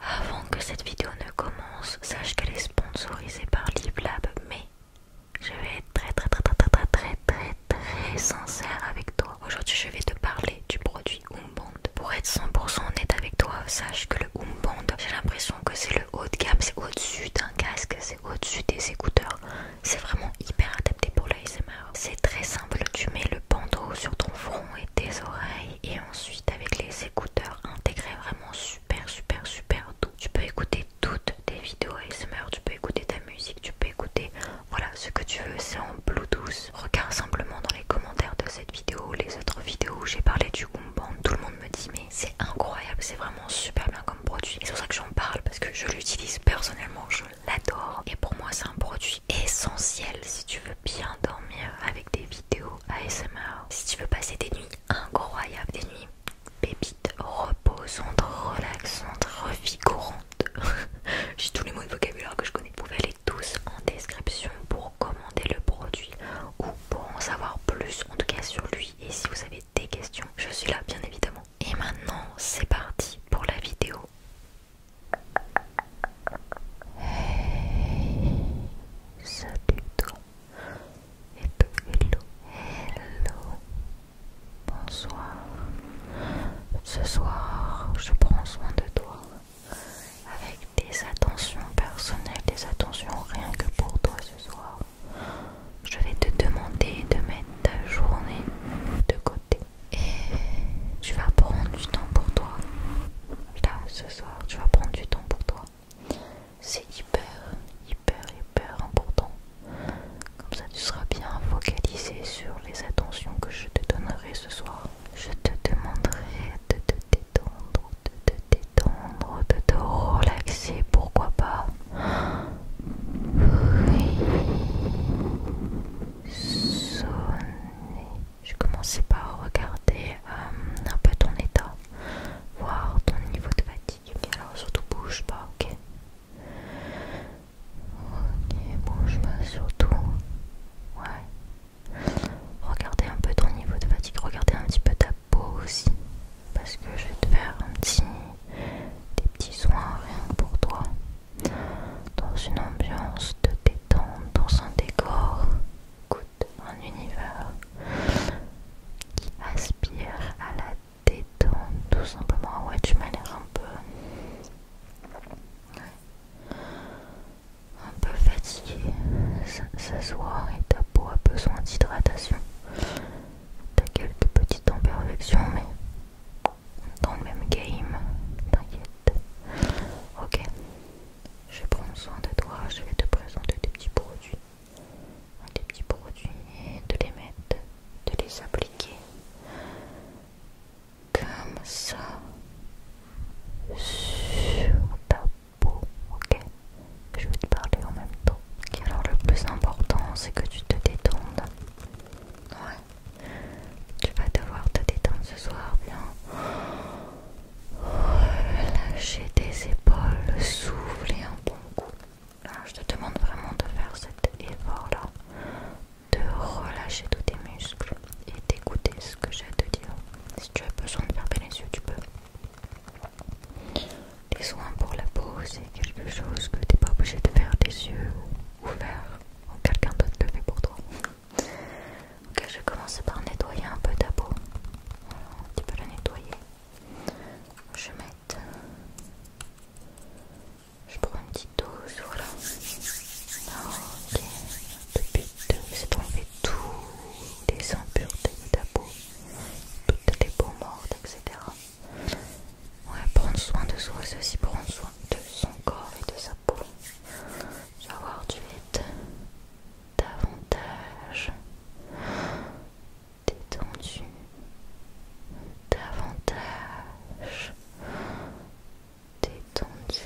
Avant que cette vidéo ne commence, sache qu'elle est sponsorisée par LibLab, mais je vais être très très très très très très très très sincère avec toi. Aujourd'hui, je vais te parler du produit Umband. Pour être 100% honnête avec toi, sache que le Umband, j'ai l'impression que c'est le haut de gamme, c'est au-dessus d'un casque, c'est au-dessus des écouteurs. C'est vraiment hyper adapté pour l'ASMR. C'est très simple, tu mets le sur ton front et tes oreilles et ensuite avec les écouteurs intégrés vraiment super super super doux. Tu peux écouter toutes tes vidéos et ASMR, tu peux écouter ta musique, tu peux écouter voilà ce que tu veux, c'est en Bluetooth. Regarde simplement dans les commentaires de cette vidéo les autres vidéos où j'ai parlé du Gumband, tout le monde me dit mais c'est incroyable, c'est vraiment super bien comme produit. Et c'est pour ça que j'en parle parce que je l'utilise personnellement, je l'adore et pour moi c'est un produit Essentiel si tu veux bien dormir avec des vidéos ASMR. Si tu veux passer des nuits incroyables, des nuits pépites, reposantes, relaxantes, revigorantes. J'ai tous les mots de vocabulaire que je connais. Vous pouvez aller tous en description pour commander le produit ou pour en savoir plus, en tout cas sur lui. Et si vous avez des questions, je suis là bien évidemment. Et maintenant, c'est parti pour la vidéo Hey, salut toi. Hello, hello. Bonsoir. Ce soir, je prends soin de toi avec des attentions personnelles, des attentions rien que pour toi ce soir. Je vais te demander de mettre ta journée de côté et tu vas prendre du temps pour toi là ce soir, tu vas prendre du temps pour toi. C'est hyper, hyper, hyper important. Comme ça, tu seras bien focalisé sur les attentions que je te donnerai ce soir. Je te demanderai de te détendre, de te détendre, de te relaxer, pourquoi pas. Oui j'ai commencé par regarder euh, un peu ton état, voir ton niveau de fatigue. Alors surtout bouge pas, ok Ok, bouge pas surtout. Ouais. Regardez un peu ton niveau de fatigue, regardez un petit peu ta peau aussi. Parce que je vais te faire un petit, des petits soins rien que pour toi. Dans une ambiance de dans son décor coûte un univers qui aspire à la détente, tout simplement. Ouais, tu un peu. Un peu fatigué, S'asseoir et ta peau a besoin d'hydratation. T'as quelques petites imperfections, mais dans le même game, t'inquiète. Ok, je prends soin de toi, je vais te présenter des petits produits. Des petits produits et de les mettre, de les appliquer. Comme ça. Sur ta peau. Ok, je vais te parler en même temps. Ok, alors le plus important c'est que tu te détendes. Ouais, tu vas devoir te détendre ce soir, bien. Relâcher tes épaules, souffler un bon coup. je te demande vraiment de faire cet effort-là, de relâcher tous tes muscles et d'écouter ce que j'ai à te dire. Si tu as besoin de fermer les yeux, tu peux. Les soins pour la peau, c'est quelque chose que tu n'es pas obligé de faire des yeux ouverts. Quelqu'un d'autre le fait pour toi. Ok, je vais commencer par nettoyer un peu ta peau. un petit peu la nettoyer. Je vais mettre. Je prends une petite dose, voilà. Ok, c'est pour enlever toutes les impuretés de ta peau, toutes les peaux mortes, etc. Ouais, prendre soin de soi, c'est aussi prendre soin de son corps et de sa peau voir, tu es davantage détendu, davantage détendu, davantage détendu.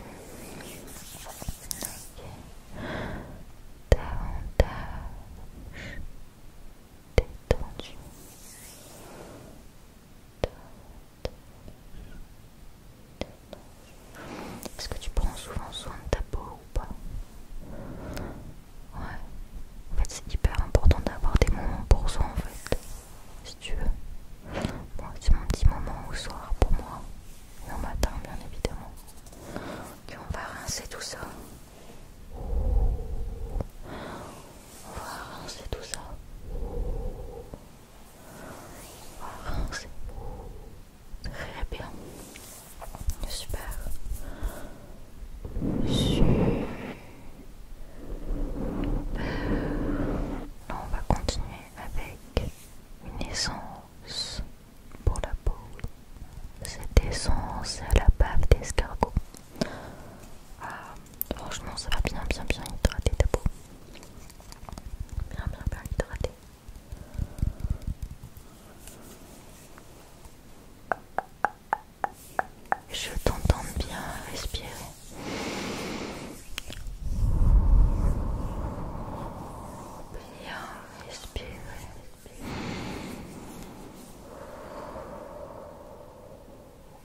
Davantage est-ce que tu prends souvent soin de ta peau ou pas Ouais. En fait, c'est hyper important d'avoir des moments pour soi, en fait. Si tu veux. c'est mon petit moment au soir pour moi. Et au matin, bien évidemment. Ok, on va rincer tout ça. On va rincer tout ça. Très bien. Super. on va continuer avec une essence pour la peau. Cette essence à la bave d'escargot. franchement, ça va bien, bien, bien hydrater ta peau bien bien bien Je t'entends bien respirer. Bien respirer.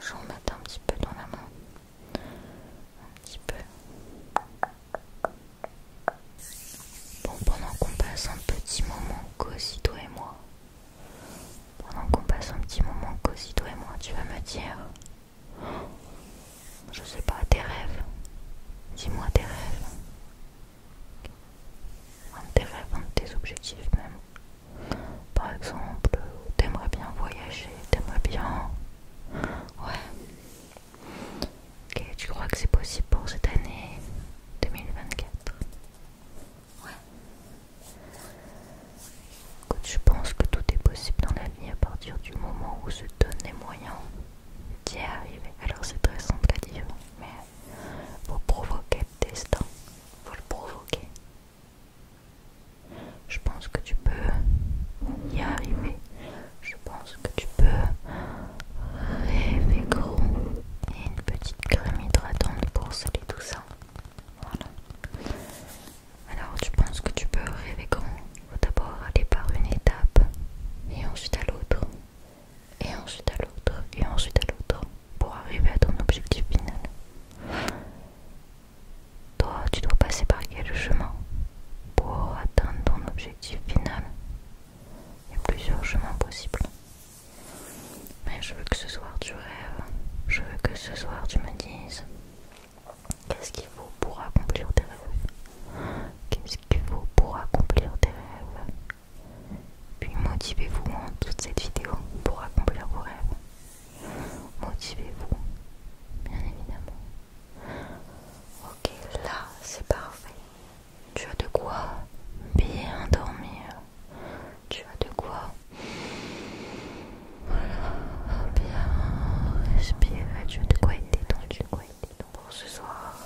J'en mets un petit peu dans la main. Un petit peu. Bon, pendant qu'on passe un petit moment cosy, toi et moi. Pendant qu'on passe un petit moment cosy, toi et moi, tu vas me dire. Je sais pas, tes rêves. Dis-moi tes rêves un de tes rêves, tes objectifs même. Par exemple, t'aimerais bien voyager, t'aimerais bien... Ouais. Ok, tu crois que c'est possible pour cette année 2024 Ouais. je pense que tout est possible dans la vie à partir du moment où se donnent les moyens d'y arriver. Alors c'est très simple à dire, mais pour provoquer destin, faut le provoquer. Je pense que tu peux y arriver. Je pense que tu peux rêver gros. Et une petite crème hydratante pour sceller tout ça. Voilà. Alors tu penses que tu peux rêver grand. Faut d'abord aller par une étape et ensuite à l'autre et ensuite à l'autre, et ensuite à l'autre, pour arriver à ton objectif final. Toi, tu dois passer par quel chemin pour atteindre ton objectif final Il y a plusieurs chemins possibles. Mais je veux que ce soir tu rêves, je veux que ce soir tu me dises qu'est-ce qu'il faut pour accomplir tes rêves. Qu'est-ce qu'il faut pour accomplir tes rêves puis motivez-vous en toute cette vidéo pour accomplir vos rêves. Motivez-vous, bien évidemment. Ok, là, c'est parfait. Tu as de quoi bien dormir. Tu as de quoi voilà, bien respirer. Tu as de quoi être détendu. Pour ce soir,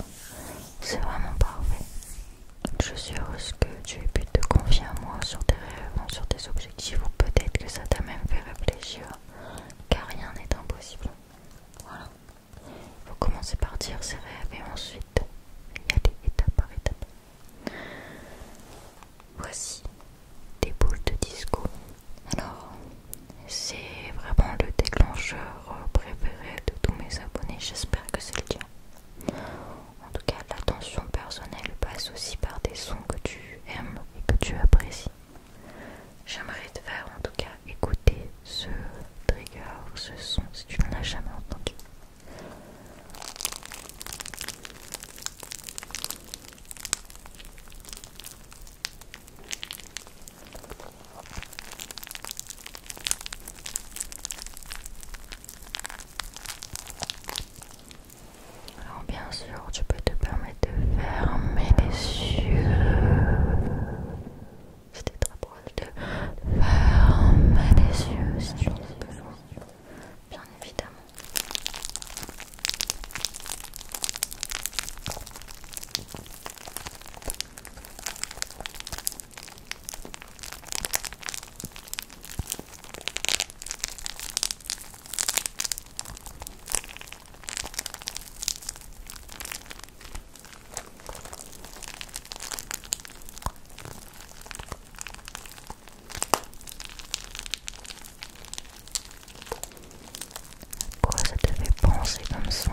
c'est vraiment parfait. Je suis heureuse que tu aies pu te confier à moi sur tes rêves, sur tes objectifs, ou peut-être que ça t'a même fait réfléchir, car rien n'est impossible. Voilà. Il faut commencer par dire ses rêves et ensuite y aller étape par étape. Voici des boules de disco. Alors, c'est vraiment le déclencheur euh, préféré de tous mes abonnés, j'espère que c'est le cas En tout cas, l'attention personnelle passe aussi par des sons que tu aimes et que tu apprécies. J'aimerais te faire en tout cas écouter ce trigger, ce son, si tu n'en as jamais entendu. Alors bien sûr, tu peux te permettre de fermer les yeux. C'était très proche de fermer les yeux si tu en besoin, bien évidemment. Pourquoi ça te fait penser comme ça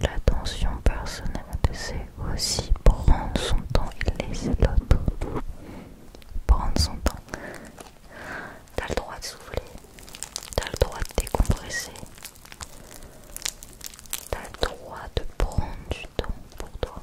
L'attention personnelle, c'est aussi prendre son temps et laisser l'autre prendre son temps. T'as le droit de souffler, t'as le droit de décompresser, t'as le droit de prendre du temps pour toi.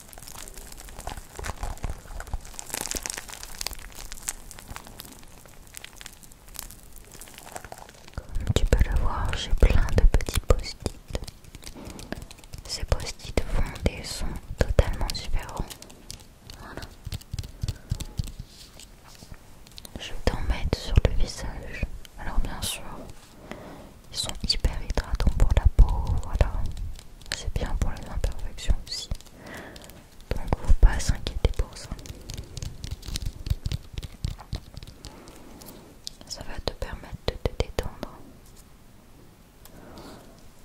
Comme tu peux le voir, j'ai plein de petits post-it. Ces post-it sont des sont totalement différents. Voilà. Je vais t'en mettre sur le visage. Alors bien sûr, ils sont hyper hydratants pour la peau, voilà. C'est bien pour les imperfections aussi. Donc faut pas s'inquiéter pour ça. Ça va te permettre de te détendre.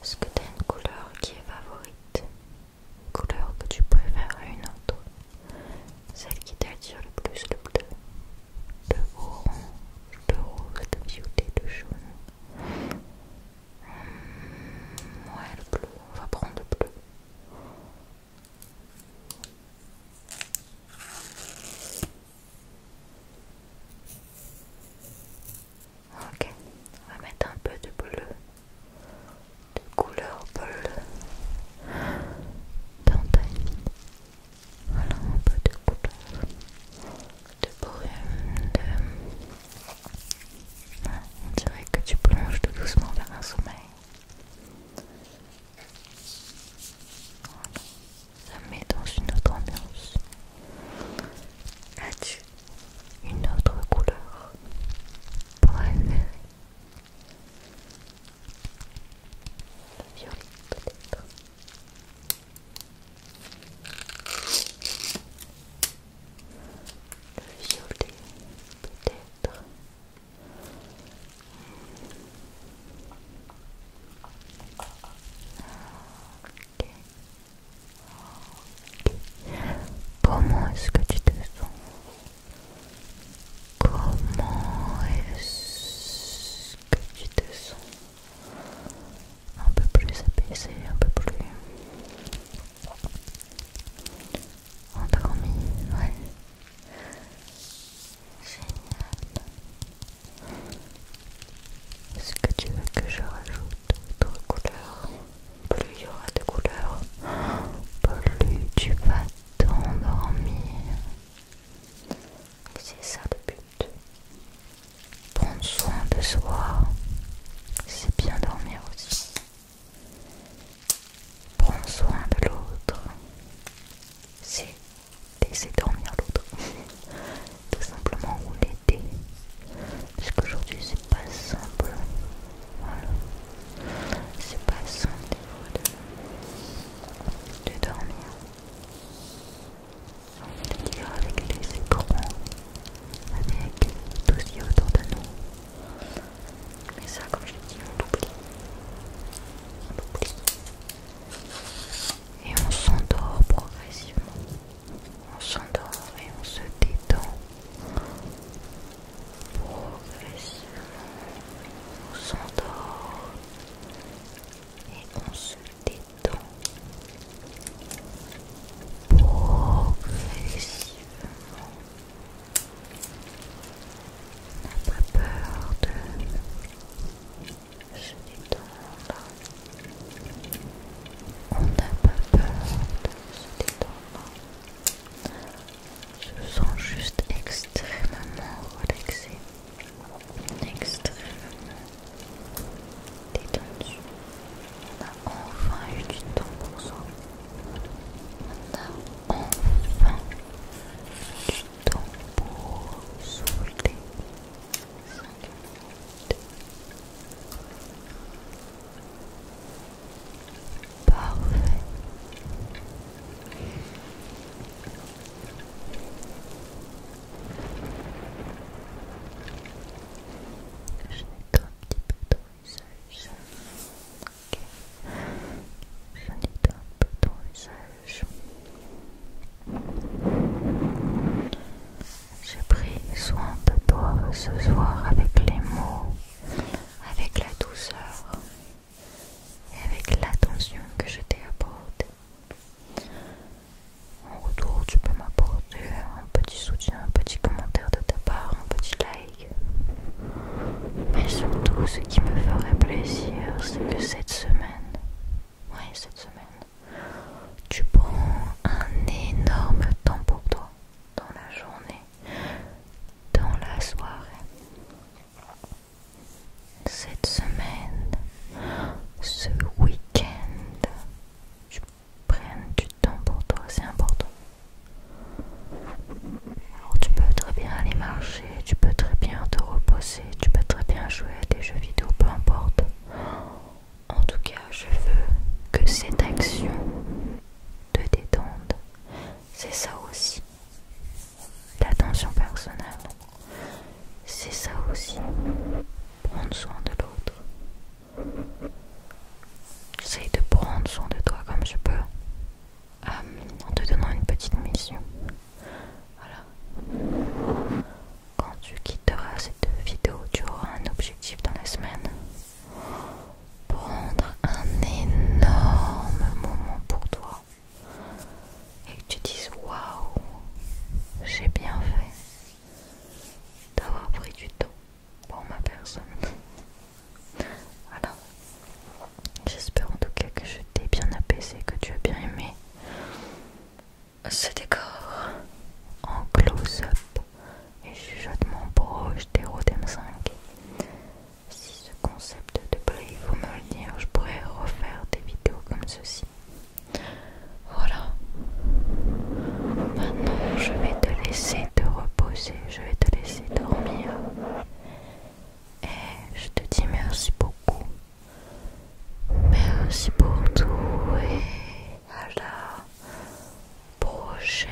Est-ce que tu as une couleur qui est favorite Une couleur que tu préfères à une autre Celle qui t'attire le plus, le bleu de orange, de de violet, de jaune. Hmm, ouais, le bleu, on va prendre le bleu. Ok, on va mettre un peu de bleu, de couleur bleue dans voilà un peu de couleur, de brume, de... on dirait que tu plonges tout doucement vers un sommeil. Voilà. Ça met dans une autre ambiance. As-tu une autre couleur préférée Violet peut-être. Le peut-être. Comment est-ce que tu te sens Comment est-ce que tu te sens un peu plus apaisé, un peu plus endormi, ouais. Génial. Est-ce que tu veux que je rajoute d'autres couleurs Plus il y aura de couleurs, plus tu vas t'endormir. C'est ça le but. Prendre soin de soi, c'est bien dormir aussi. Prendre soin de l'autre, c'est laisser dormir l'autre. Tout simplement ou l'aider. Parce qu'aujourd'hui c'est pas simple. Voilà. C'est pas simple de dormir. Le dire avec les écrans, avec tout ce qu'il y a autour de nous. Mais ça, comme je l'ai dit, on l'oublie. On l'oublie. Et on s'endort progressivement. On s'endort et on se détend. Progressivement. On s'endort et on se détend progressivement. On n'a pas peur de se détendre. On n'a pas peur de se détendre. Je se sens juste extrêmement relaxé extrême On a enfin eu du temps pour ça. On a enfin du temps pour souffler. Parfait. Je nettoie un petit peu ton usage Je nettoie un peu ton usage J'ai pris soin de toi ce soir avec les mots, avec la douceur et avec l'attention que je t'ai apportée. En retour, tu peux m'apporter un petit soutien, un petit commentaire de ta part, un petit like. Mais surtout, ce qui me ferait plaisir, c'est que cette semaine, ouais, cette semaine, tu prends un énorme temps pour toi, dans la journée, dans la soirée cette semaine, ce week-end, tu prennes du temps pour toi, c'est important. Alors tu peux très bien aller marcher, tu peux très bien te reposer, tu peux très bien jouer à des jeux vidéo, peu importe. En tout cas, je veux que cette action te détende. C'est ça aussi l'attention personnelle, c'est ça aussi, prendre soin de l'autre. J'essaye de prendre soin de toi comme je peux, euh, en te donnant une petite mission. Voilà. Quand tu quitteras cette vidéo, tu auras un objectif dans la semaine. Prendre un énorme moment pour toi et que tu dises waouh, j'ai bien fait d'avoir pris du temps pour ma personne. Voilà. J'espère en tout cas que je t'ai bien apaisé, que tu as bien aimé ce décor en close-up et je jette mon proche des 5 si ce concept de plaît, vaut me le dire, je pourrais refaire des vidéos comme ceci. Voilà. Maintenant, je vais te laisser te reposer, je vais te laisser dormir. Et je te dis merci beaucoup. Merci pour tout et à la prochaine.